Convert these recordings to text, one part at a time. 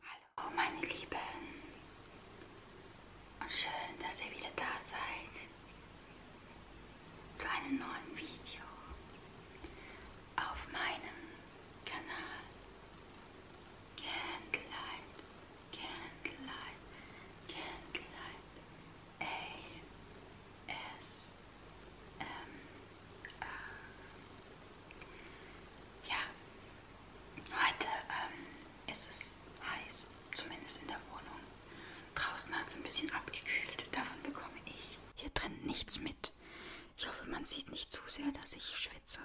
Hallo meine Lieben und schön, dass ihr wieder da seid zu einem neuen Video auf meinem Kanal Candlelight, Candlelight, Candlelight, ja, heute ähm, ist es heiß, zumindest in der Wohnung. Draußen hat es ein bisschen abgekühlt, davon bekomme ich hier drin nichts mit. Ich hoffe, man sieht nicht zu sehr, dass ich schwitze.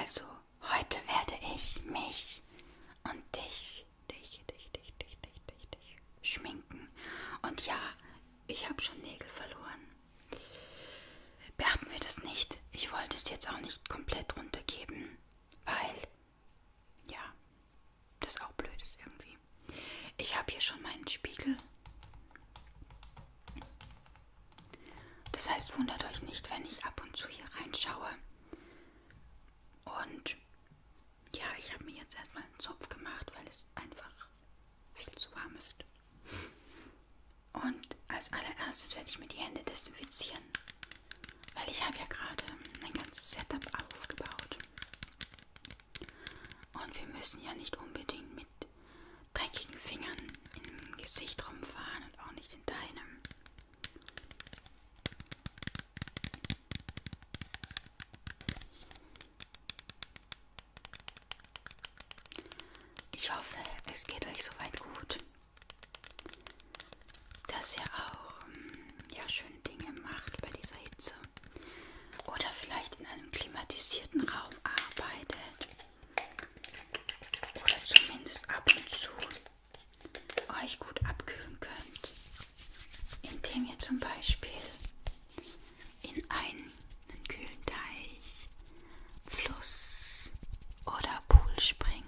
Also, heute werde ich mich und dich, dich, dich, dich, dich, dich, dich, dich schminken. Und ja, ich habe schon Nägel verloren. Beachten wir das nicht. Ich wollte es jetzt auch nicht komplett runtergeben, weil, ja, das auch blöd ist irgendwie. Ich habe hier schon meinen Spiegel. Das heißt, wundert euch nicht, wenn ich ab und zu hier reinschaue. Und ja, ich habe mir jetzt erstmal einen Zopf gemacht, weil es einfach viel zu warm ist. Und als allererstes werde ich mir die Hände desinfizieren, weil ich habe ja gerade ein ganzes Setup aufgebaut. Und wir müssen ja nicht unbedingt mit dreckigen Fingern im Gesicht rumfahren und auch nicht in deinem. Ich hoffe, es geht euch soweit gut. Dass ihr auch ähm, ja, schöne Dinge macht bei dieser Hitze. Oder vielleicht in einem klimatisierten Raum arbeitet. Oder zumindest ab und zu euch gut abkühlen könnt indem ihr zum Beispiel in einen kühlen Teich, Fluss oder Pool springt.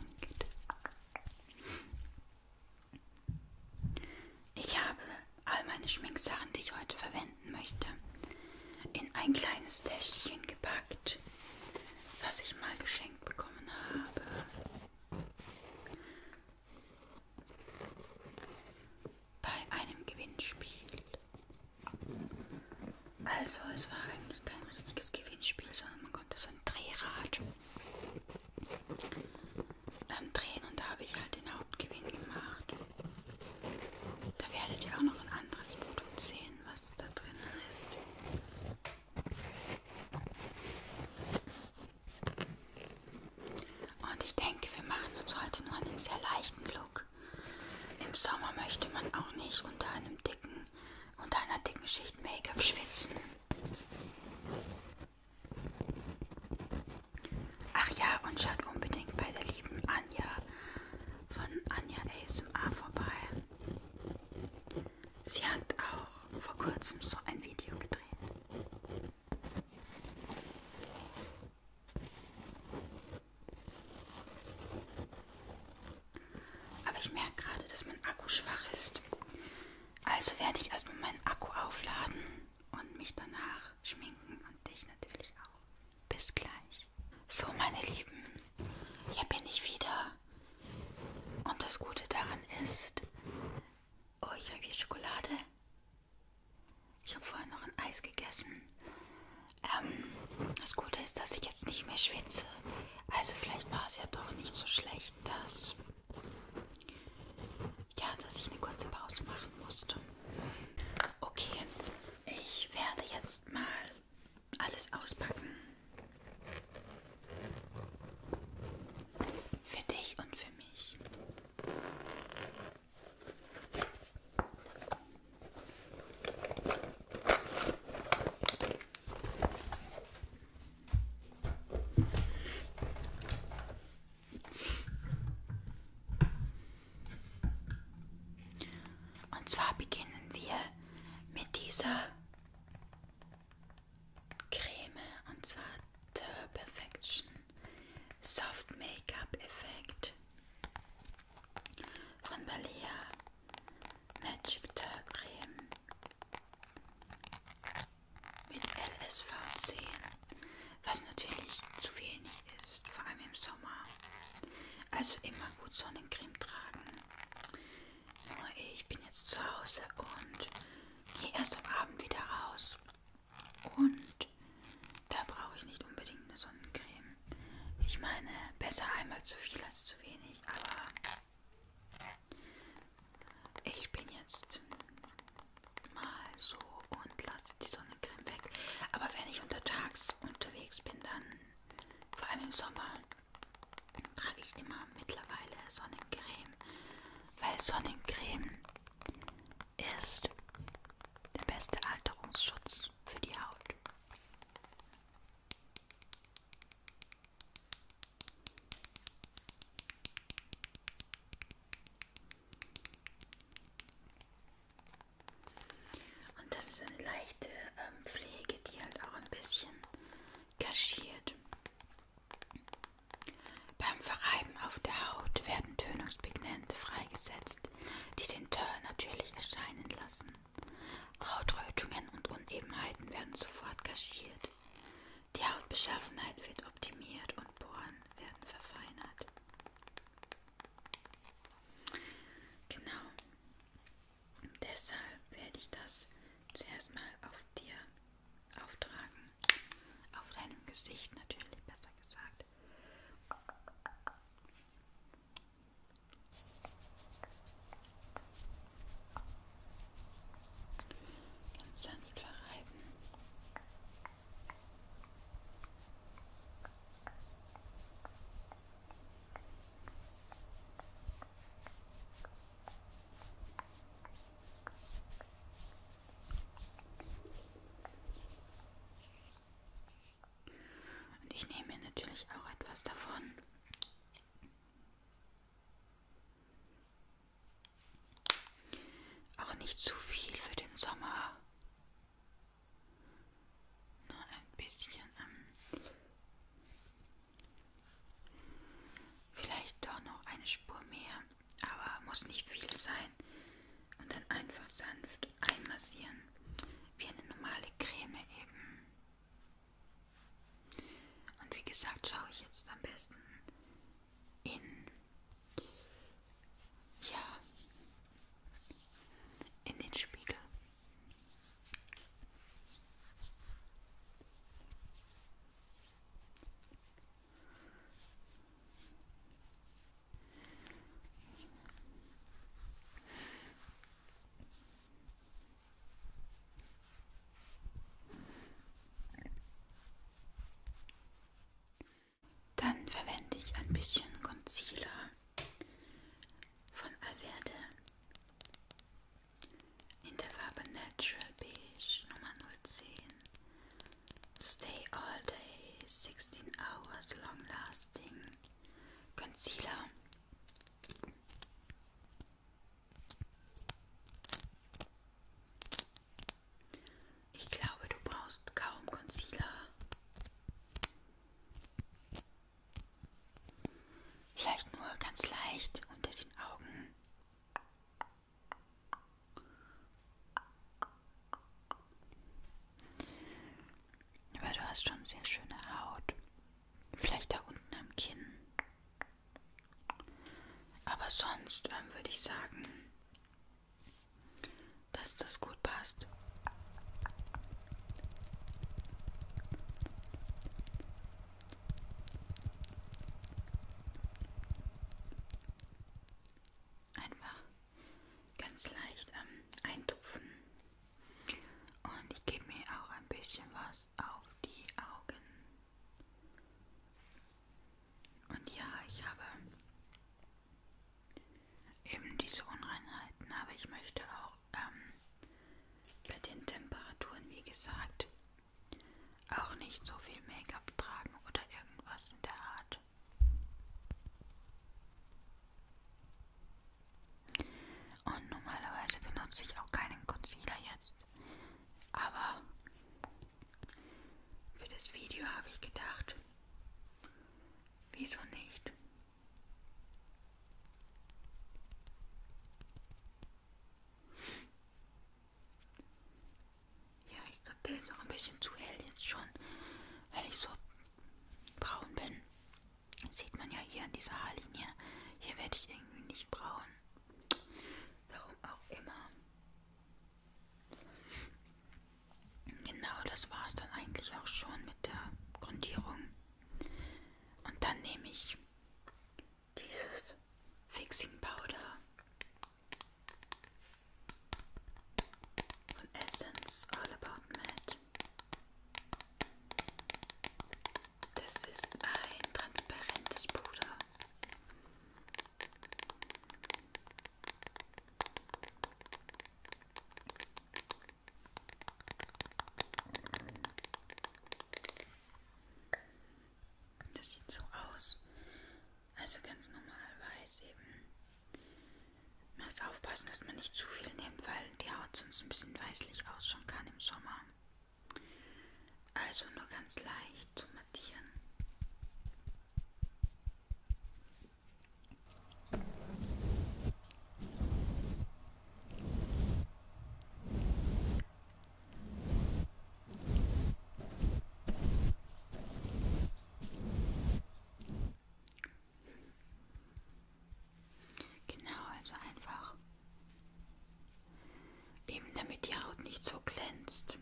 Ich habe all meine Schminksachen, die ich heute verwenden möchte, in ein kleines Täschchen gepackt, was ich mal geschenkt bekommen habe bei einem Gewinnspiel. Also es war eigentlich kein richtiges Gewinnspiel, sondern man konnte so ein Drehrad ähm, drehen und da habe ich halt den Hauptgewinn gemacht. Da werdet ihr auch noch ein anderes Produkt sehen, was da drinnen ist. Und ich denke, wir machen uns heute nur einen sehr leichten Look. Im Sommer möchte man auch nicht unter einem dicken, unter einer dicken Schicht Make-up schwitzen. Ach ja, und schaut unbedingt bei der lieben Anja von Anja ASMR vorbei. Sie hat auch vor kurzem so ein Video gedreht. Aber ich merke gerade, dass mein Akku schwach ist. Also werde ich erstmal meinen Akku aufladen und mich danach schminken und dich natürlich auch. Bis gleich. So, meine Lieben, hier bin ich wieder. Und das Gute daran ist, oh, ich habe hier Schokolade. Ich habe vorhin noch ein Eis gegessen. Ähm, das Gute ist, dass ich jetzt nicht mehr schwitze. Also vielleicht war es ja doch nicht so schlecht, dass ja, dass ich eine kurze Pause machen musste. Okay, ich werde jetzt mal alles auspacken. Für dich und für mich. Und zwar beginnen wir mit dieser Creme und zwar The Perfection. Soft Make-up Effekt von Balea Magic Turk Creme mit LSV10, was natürlich zu wenig ist, vor allem im Sommer. Also immer gut Sonnencreme tragen. Nur ich bin jetzt zu Hause und gehe erst am Abend wieder raus. Und da brauche ich nicht unbedingt eine Sonnencreme. Ich meine, besser einmal zu viel als zu wenig, aber ich bin jetzt mal so und lasse die Sonnencreme weg. Aber wenn ich untertags unterwegs bin, dann, vor allem im Sommer, trage ich immer mittlerweile Sonnencreme, weil Sonnencreme ist der beste Alterungsschutz für die Haut. Und das ist eine leichte ähm, Pflege, die halt auch ein bisschen kaschiert, beim Verreiben auf der Haut werden Tönungspigmente freigesetzt, die den Teint natürlich erscheinen lassen. Hautrötungen und Unebenheiten werden sofort kaschiert. Die Hautbeschaffenheit wird optimiert und Poren werden verfeinert. Genau. Deshalb werde ich das zuerst mal auf dir auftragen. Auf seinem Gesicht natürlich, besser gesagt. Ganz sanft verreiben. Und ich nehme mir natürlich auch etwas davon. Auch nicht zu viel für den Sommer. Nur ein bisschen. Ähm, vielleicht doch noch eine Spur mehr aber muss nicht viel sein. Und dann einfach sanft einmassieren, wie eine normale Creme eben. Und wie gesagt, schaue ich jetzt am besten in, ja, in den Spiegel. Dann verwende ich ein bisschen Concealer von Alverde in der Farbe Natural Beige Nummer 010 Stay all day, 16 hours, long lasting. Concealer. Ich glaube, du brauchst kaum Concealer. Vielleicht nur ganz leicht unter den Augen. Weil du hast schon sehr schöne Haut. Vielleicht da unten am Kinn. Aber sonst ähm, würde ich sagen, dass das gut passt einfach ganz leicht ähm, eintupfen. Und ich gebe mir auch ein bisschen was auf die Augen. Und ja, ich habe eben diese Unreinheiten, aber ich möchte auch ähm, bei den Temperaturen, wie gesagt, auch nicht so viel Make-up tragen oder irgendwas in der Art. Kraft. Und normalerweise benutze ich auch keinen Concealer jetzt. Aber für das Video habe ich gedacht, wieso nicht? Ja, ich glaube, der ist auch ein bisschen zu hell jetzt schon, weil ich so braun bin. Das sieht man ja hier an dieser Haarlinie. Hier werde ich irgendwie nicht braun. Warum auch immer. Genau, das war es dann eigentlich auch schon mit der Grundierung. Und dann nehme ich dieses Fixing Powder von Essence All About Matte. Das ist ein transparentes Puder. Das sieht so aus, also ganz normal weiß eben. Man muss aufpassen, dass man nicht zu viel nimmt, weil die Haut sonst ein bisschen weißlich ausschauen kann im Sommer. Also nur ganz leicht zu mattieren. Genau, also einfach eben damit die Haut nicht so glänzt.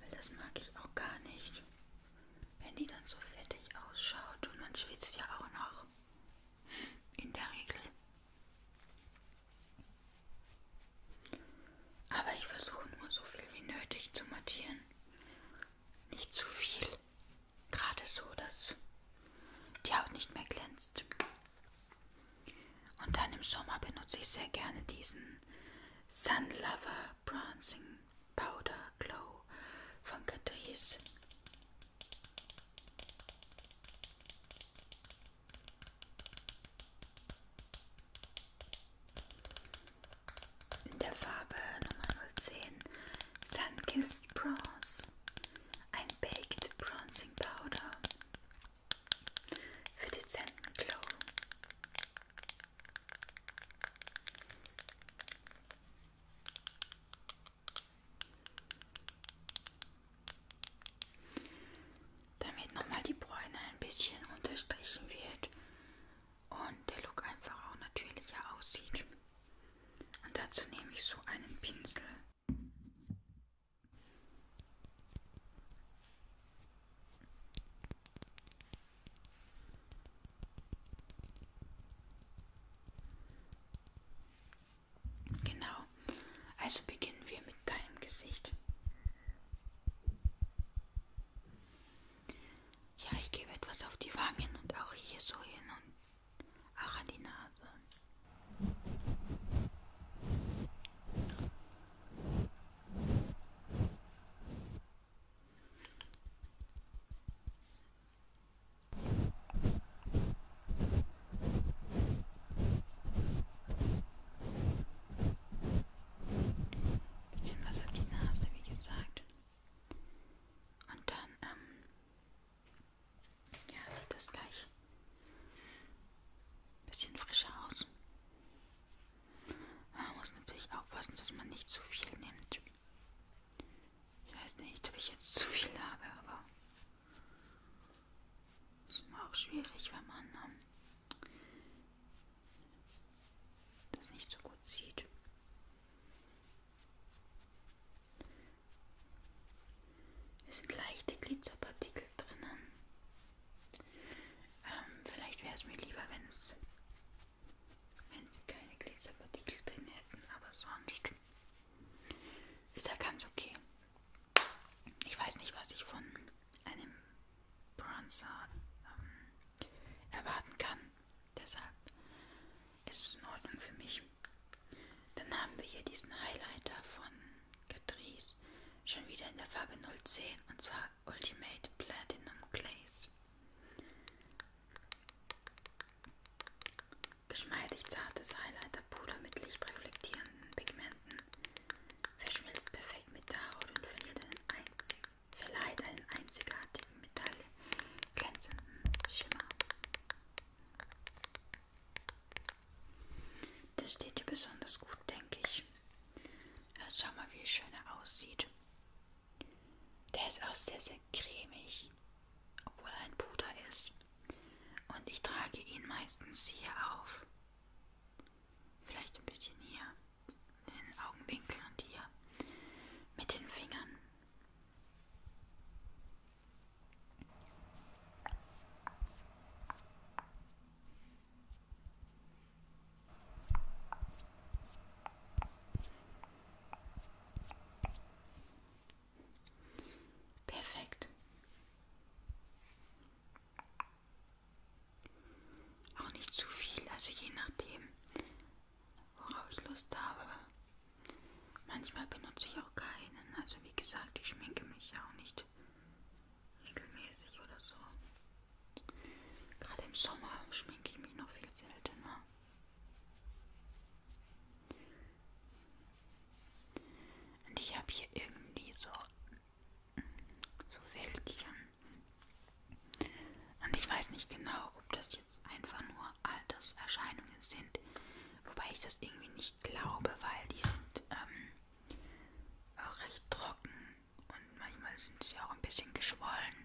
Weil das mag ich auch gar nicht, wenn die dann so fettig ausschaut und man schwitzt ja auch noch. In der Regel. Aber ich versuche nur so viel wie nötig zu mattieren. Nicht zu viel. Gerade so, dass die Haut nicht mehr glänzt. Und dann im Sommer benutze ich sehr gerne diesen Sun Lover Bronzing Powder Glow von Catrice in der Farbe Nummer 010 Sunkissed Bronze, ein Baked Bronzing Powder für dezenten Glow. Damit nochmal die Bräune ein bisschen unterstrichen wird, und der Look einfach auch natürlicher aussieht. Und dazu nehme ich so einen Pinsel. Genau. Also beginnen wir mit deinem Gesicht. Ja, ich gebe etwas auf die Wangen und auch hier so hin und auch an die Nase beziehungsweise auf die Nase, wie gesagt. Und dann, ähm, ja, sieht das gleich ein bisschen frischer aus. Man muss natürlich aufpassen, dass man nicht zu viel nimmt. Ich weiß nicht, ob ich jetzt zu viel habe, aber es ist immer auch schwierig, wenn man ähm, das nicht so gut sieht. Es sind leichte Glitzerpartikel drinnen. Ähm, vielleicht wäre es mir lieber, wenn es wenn sie keine Glitzerpartikel drin hätten, aber sonst ist ja ganz okay. Ich weiß nicht, was ich von einem Bronzer ähm, erwarten kann. Deshalb ist es in Ordnung für mich. Dann haben wir hier diesen Highlighter von Catrice. Schon wieder in der Farbe 010 und zwar Ultimate Platinum Glaze. Geschmeidig zartes Highlighter-Puder mit lichtreflektierenden Pigmenten. Verschmilzt perfekt mit der Haut und verliert einen einzigen verleiht einen einzigartigen metallglänzenden Schimmer. Das steht dir besonders gut, denke ich. Ja, schau mal, wie schön er aussieht. Der ist auch sehr, sehr cremig, obwohl er ein Puder ist. Und ich trage ihn meistens hier auf. Vielleicht ein bisschen hier den Augenwinkel und hier mit den Fingern. Perfekt. Auch nicht zu viel, also je nachdem, worauf ich Lust habe. Manchmal benutze ich auch keinen. Also wie gesagt, ich schminke mich ja auch nicht regelmäßig oder so. Gerade im Sommer schminke ich mich noch viel seltener. Und ich habe hier irgendwie so so Wäldchen. Und ich weiß nicht genau, ob das jetzt einfach nur Alterserscheinungen sind. Wobei ich das irgendwie nicht glaube, weil die sind ähm, auch recht trocken und manchmal sind sie auch ein bisschen geschwollen.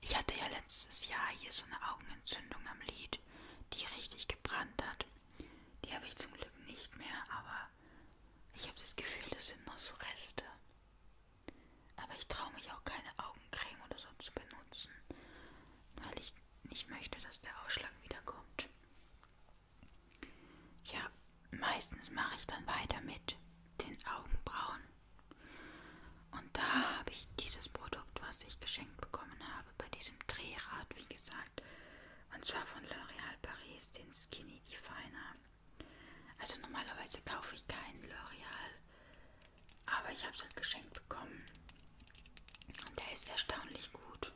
Ich hatte ja letztes Jahr hier so eine Augenentzündung am Lid, die richtig gebrannt hat. Die habe ich zum Glück nicht mehr, aber ich habe das Gefühl, das sind noch so Reste. Aber ich traue mich auch keine Augencreme oder so zu benutzen, weil ich nicht möchte, dass der Ausschlag wiederkommt. Ja, meistens mache ich dann weiter mit den Augenbrauen. Und da habe ich dieses Produkt, was ich geschenkt bekommen habe, bei diesem Drehrad, wie gesagt. Und zwar von L'Oréal Paris, den Skinny Definer. Also normalerweise kaufe ich keinen L'Oreal, aber ich habe es halt geschenkt bekommen. Und der ist erstaunlich gut.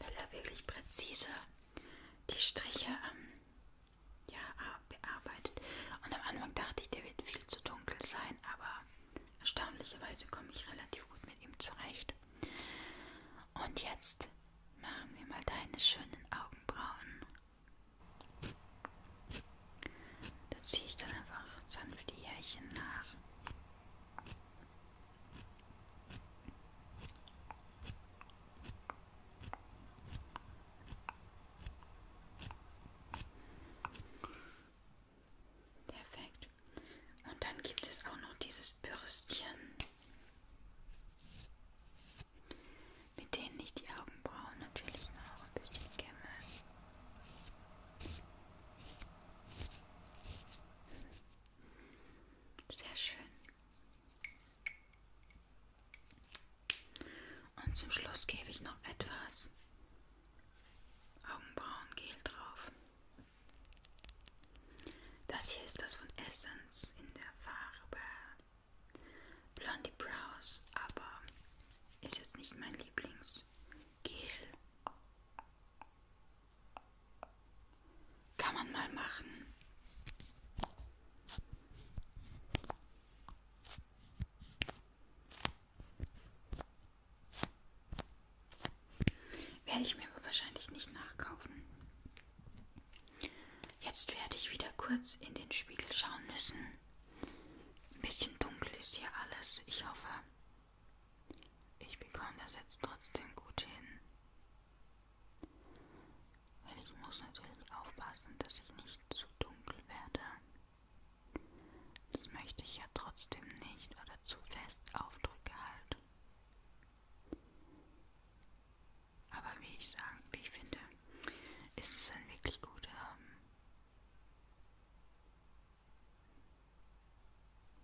Weil er wirklich präzise die Striche ähm, ja, bearbeitet. Und am Anfang dachte ich, der wird viel zu dunkel sein, aber erstaunlicherweise komme ich relativ gut mit ihm zurecht. Und jetzt machen wir mal deine schönen Augenbrauen. Da ziehe ich dann einfach sanft die Härchen nach. Perfekt. Und dann gibt es auch noch dieses Bürstchen, mit denen ich die Augenbrauen natürlich noch ein bisschen kämme. Sehr schön. Und zum Schluss gebe ich noch etwas Augenbrauengel drauf. Das hier ist das von Essence in der Farbe Blondie Brows, aber ist jetzt nicht mein Lieblingsgel. Kann man mal machen. Werde ich mir aber wahrscheinlich nicht nachkaufen. Jetzt werde ich wieder kurz in den Spiegel schauen müssen. Ein bisschen dunkel ist hier alles. Ich hoffe, ich bekomme das jetzt trotzdem gut hin. Weil ich muss natürlich aufpassen, dass ich nicht zu dunkel werde. Das möchte ich ja trotzdem nicht oder zu fest auf Druck halten. Aber wie ich sagen, wie ich finde, ist es ein wirklich guter ähm,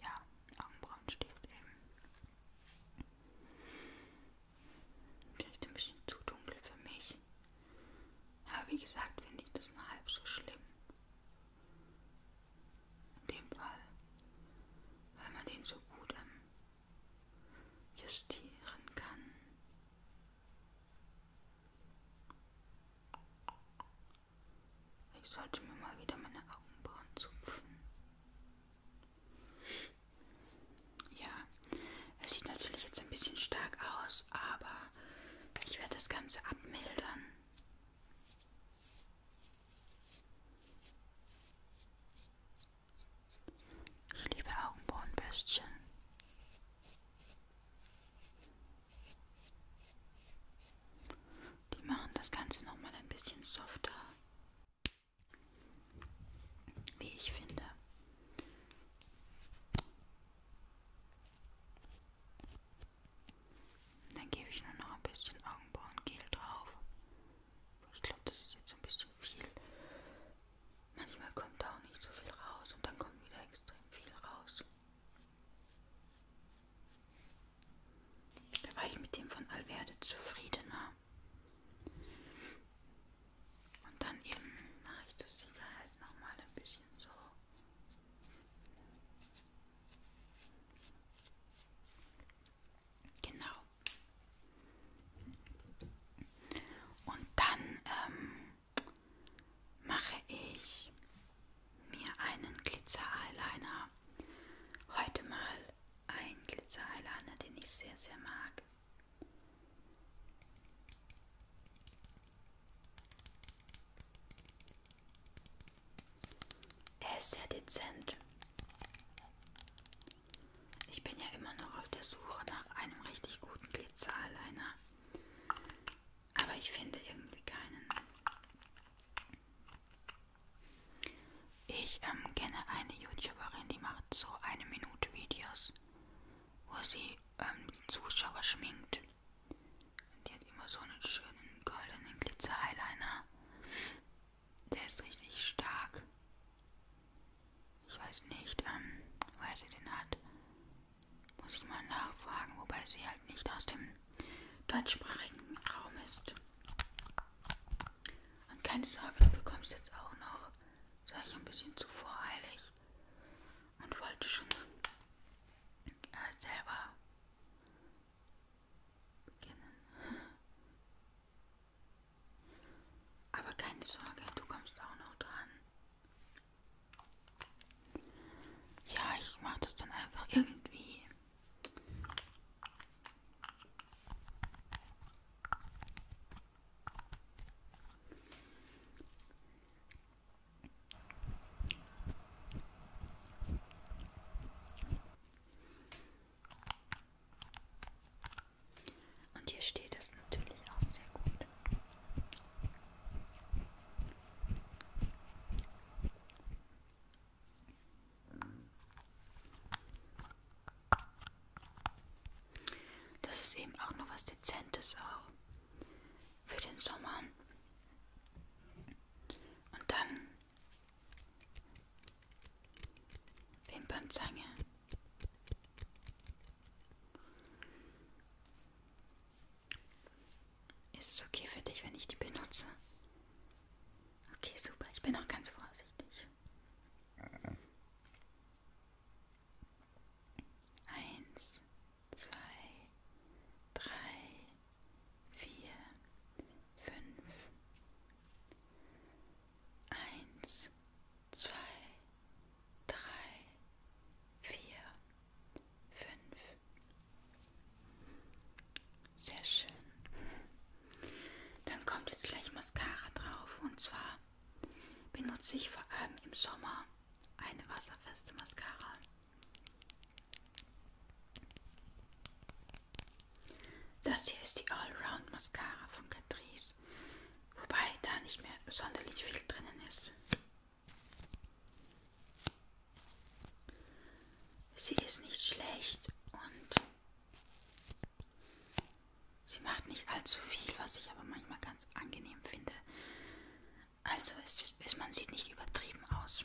ja, Augenbrauenstift eben. Vielleicht ein bisschen zu dunkel für mich. Aber wie gesagt, finde ich das nur halb so schlimm. In dem Fall, weil man den so gut ähm, justieren kann. Ich sollte mir mal wieder meine Augenbrauen zupfen. Ja, es sieht natürlich jetzt ein bisschen stark aus, aber ich werde das Ganze abmildern. Ich liebe Augenbrauenbürstchen. Die machen das Ganze nochmal ein bisschen softer. Wie ich finde. Dann gebe ich nur noch ein bisschen Augenbrauengel drauf. Ich glaube, das ist jetzt ein bisschen viel. Manchmal kommt da auch nicht so viel raus und dann kommt wieder extrem viel raus. Da war ich mit dem von Alverde zufriedener. Und dann eben mache ich das Sicherheit nochmal ein bisschen so. Genau. Und dann ähm, mache ich mir einen Glitzer-Eyeliner. Heute mal ein Glitzer-Eyeliner, den ich sehr, sehr mag. Er ist sehr dezent. Ich bin ja immer noch auf der Suche nach einem richtig guten Glitzer-Eyeliner. Aber ich finde irgendwie keinen. Ich ähm, kenne eine YouTuberin, die macht so eine Minute Videos, wo sie ähm, die Zuschauer schminkt. Und die hat immer so einen schönen goldenen Glitzer-Eyeliner. Der ist richtig stark. Ich weiß nicht, ähm, woher sie den hat. Muss ich mal nachfragen, wobei sie halt nicht aus dem deutschsprachigen Raum ist. Und keine Sorge, du bekommst jetzt auch noch. Das war ich ein bisschen zu voreilig und wollte schon äh, selber kennen. Aber keine Sorge, du kommst auch noch dran. Ja, ich mache das dann einfach irgendwie. Und hier steht es natürlich auch sehr gut. Das ist eben auch noch was Dezentes auch für den Sommer. Und dann Wimpernzange. Ist es okay für dich, wenn ich die benutze? Okay, super. Ich bin auch ganz vorsichtig. Eins, zwei, drei, vier, fünf, eins, zwei, drei, vier, fünf. Sehr schön. Dann kommt jetzt gleich Mascara drauf und zwar benutze ich vor allem im Sommer eine wasserfeste Mascara. Das hier ist die Allround Mascara von Catrice, wobei da nicht mehr sonderlich viel drinnen ist. Sie ist nicht schlecht und sie macht nicht allzu viel, was ich aber manchmal ganz angenehm finde. Also es, es, man sieht nicht übertrieben aus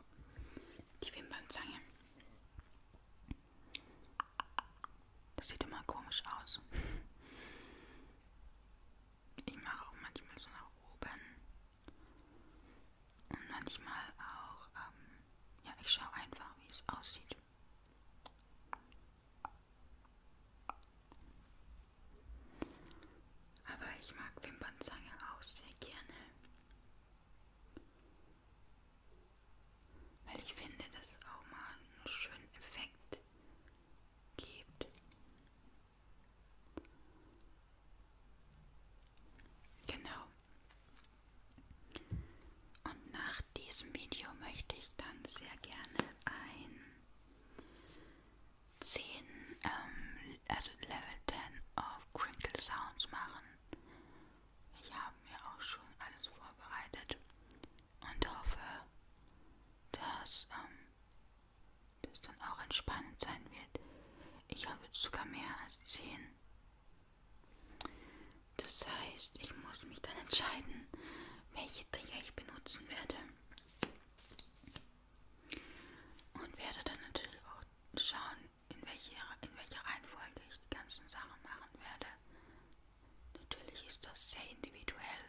auch die Wimpernzange. Das sieht immer komisch aus. Ich mache auch manchmal so nach oben. Und manchmal auch, ähm, ja, ich schaue einfach, wie es aussieht. Aber ich mag Wimpernzange auch sehr gerne. Weil ich finde, dass es auch mal einen schönen Effekt gibt. Genau. Und nach diesem Video möchte ich dann sehr gerne ein 10, ähm, also Level 10 of auf Crinkle Sounds machen. Ich habe mir auch schon alles vorbereitet und hoffe, dass ähm, das dann auch entspannend sein wird. Ich habe jetzt sogar mehr als 10. Das heißt, ich muss mich dann entscheiden, welche Trigger ich benutzen werde. Und werde dann natürlich auch schauen, in welcher, in welcher Reihenfolge ich die ganzen Sachen machen werde. Natürlich ist das sehr individuell,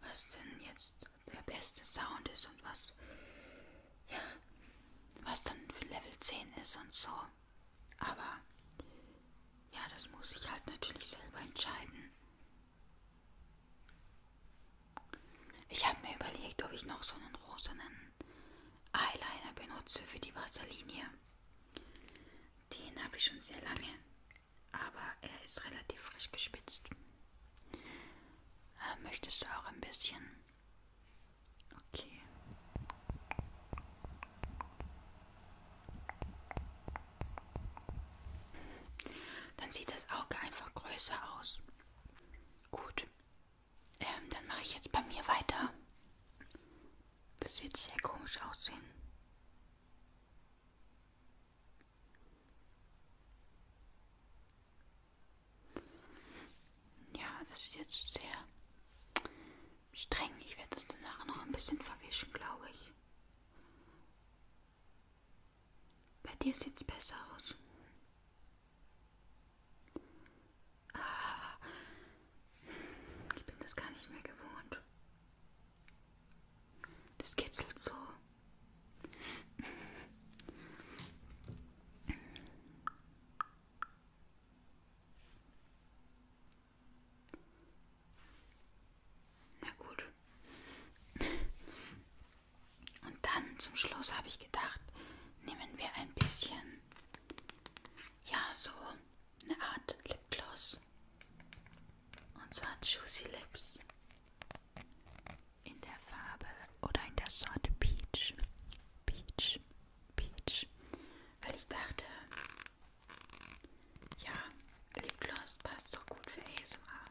was denn jetzt der beste Sound ist und was, ja, was dann für Level 10 ist und so. Aber ja, das muss ich halt natürlich selber entscheiden. Ich habe mir überlegt, ob ich noch so einen rosanen Eyeliner benutze für die Wasserlinie. Den habe ich schon sehr lange, aber er ist relativ frisch gespitzt. Äh, möchtest du auch ein bisschen? Okay. Dann sieht das Auge einfach größer aus. Gut. Ähm, dann mache ich jetzt bei mir weiter. Das wird sehr komisch aussehen. Ja, das ist jetzt sehr streng. Ich werde das danach noch ein bisschen verwischen, glaube ich. Bei dir sieht's besser aus. Ah, ich bin das gar nicht mehr gewohnt. Das kitzelt so. Na gut. Und dann zum Schluss habe ich gedacht, nehmen wir ein bisschen, ja, so eine Art Lipgloss. Und zwar Juicy Lips. In der Farbe oder in der Sorte Peach. Peach, Peach. Weil ich dachte, ja, Lipgloss passt doch gut für ASMR.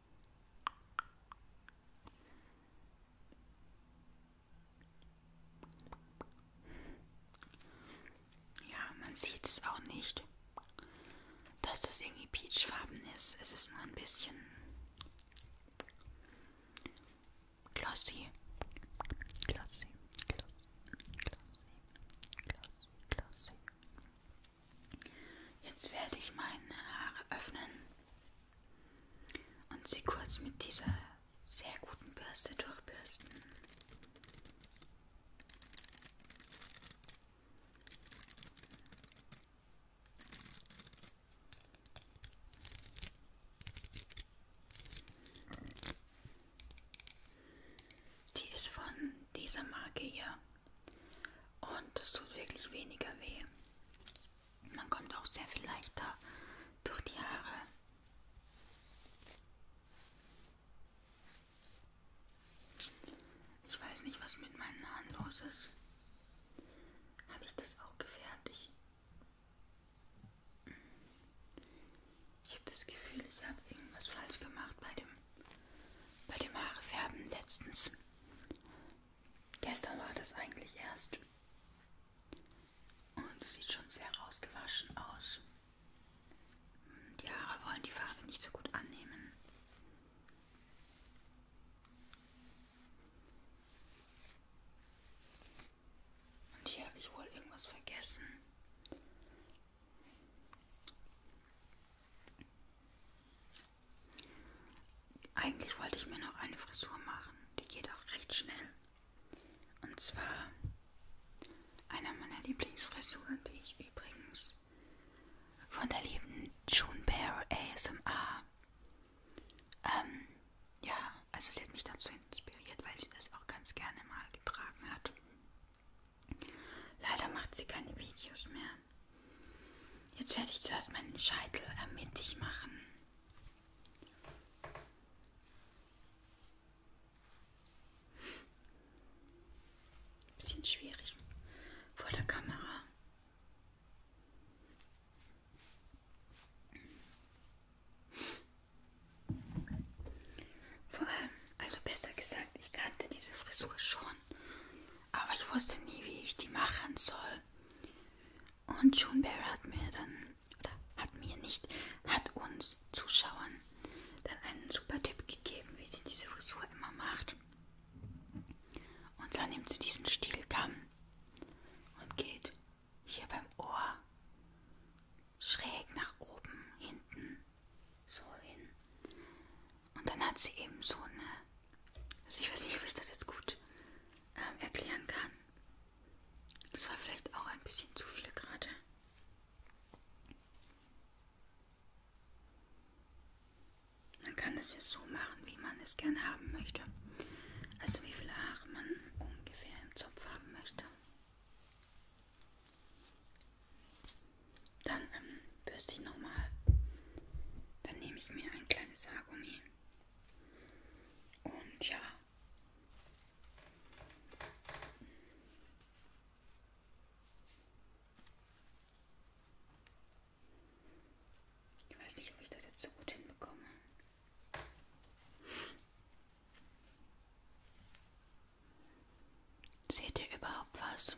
Ja, man sieht es auch nicht, dass das irgendwie peachfarben ist. Es ist nur ein bisschen glossy. Glossy, glossy, glossy, glossy, glossy. Jetzt werde ich meine Haare öffnen und sie kurz mit dieser sehr guten Bürste durchbürsten. Die ist von dieser Marke hier und es tut wirklich weniger weh. Man kommt auch sehr viel leichter durch die Haare. Ich weiß nicht, was mit meinen Haaren los ist. Habe ich das auch gefärbt? Ich, ich habe das Gefühl, ich habe irgendwas falsch gemacht bei dem, bei dem Haarefärben letztens. Gestern war das eigentlich erst. Und es sieht schon sehr rausgewaschen aus. Hm, die Haare wollen die Farbe nicht so gut annehmen. Und hier habe ich wohl irgendwas vergessen. Eigentlich wollte ich mir noch eine Frisur machen, die geht auch recht schnell. Und zwar einer meiner Lieblingsfrisuren, die ich übrigens von der lieben June Bear ASMR. Ähm, ja, also sie hat mich dazu inspiriert, weil sie das auch ganz gerne mal getragen hat. Leider macht sie keine Videos mehr. Jetzt werde ich zuerst meinen Scheitel mittig machen. Bisschen schwierig vor der Kamera. Vor allem, also besser gesagt, ich kannte diese Frisur schon, aber ich wusste nie, wie ich die machen soll. Und Juneberry hat mir dann, oder hat mir nicht, hat uns Zuschauern dann einen super Tipp gegeben, wie sie diese Frisur immer macht. Und zwar nimmt sie diesen Stielkamm und geht hier beim Ohr schräg nach oben, hinten, so hin. Und dann hat sie eben so eine also ich weiß nicht, ob ich das jetzt gut ähm, erklären kann. Das war vielleicht auch ein bisschen zu viel gerade. Man kann es ja so machen, wie man es gerne haben möchte. Also wie viele Haare man ungefähr im Zopf haben möchte. Dann ähm, bürste ich nochmal. Dann nehme ich mir ein kleines Haargummi und ja. Ich weiß nicht, ob ich das jetzt so gut hinbekomme. Seht ihr überhaupt was?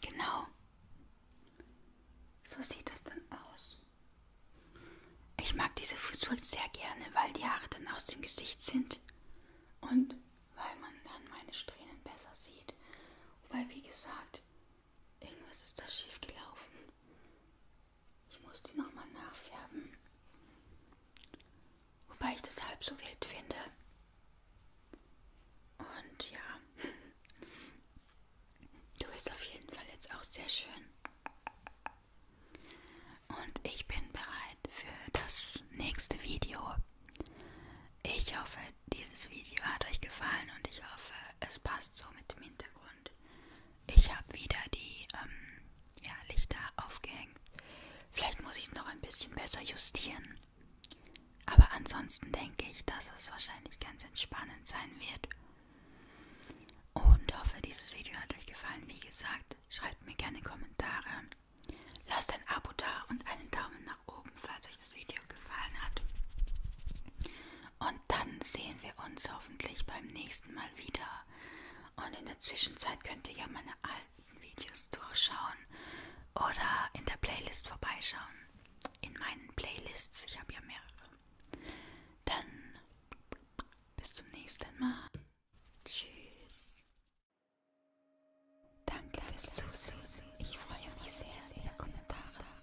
Genau. So sieht das dann aus. Ich mag diese Frisur sehr gerne, weil die Haare dann aus dem Gesicht sind und weil man dann meine Strähnen besser sieht. Wobei, wie gesagt, irgendwas ist da schief gelaufen. Ich muss die nochmal nachfärben. Wobei ich das halb so wild finde. Und ja. Du bist auf jeden Fall jetzt auch sehr schön. Und ich bin bereit für das nächste Video. Ich hoffe, dieses Video hat euch gefallen und ich hoffe, es passt so mit dem Hintergrund. Ich habe wieder die ähm, ja, Lichter aufgehängt. Vielleicht muss ich es noch ein bisschen besser justieren. Aber ansonsten denke ich, dass es wahrscheinlich ganz entspannend sein wird. Und hoffe, dieses Video hat euch gefallen. Wie gesagt, schreibt mir gerne Kommentare. Lasst ein Abo da und einen Daumen nach oben, falls euch das Video gefallen hat. Und dann sehen wir uns hoffentlich beim nächsten Mal wieder. Und in der Zwischenzeit könnt ihr ja meine alten alten Videos durchschauen oder in der Playlist vorbeischauen. In meinen Playlists, ich habe ja mehrere. Dann bis zum nächsten Mal. Tschüss. Danke fürs Zusehen. Ich freue mich sehr über Kommentare.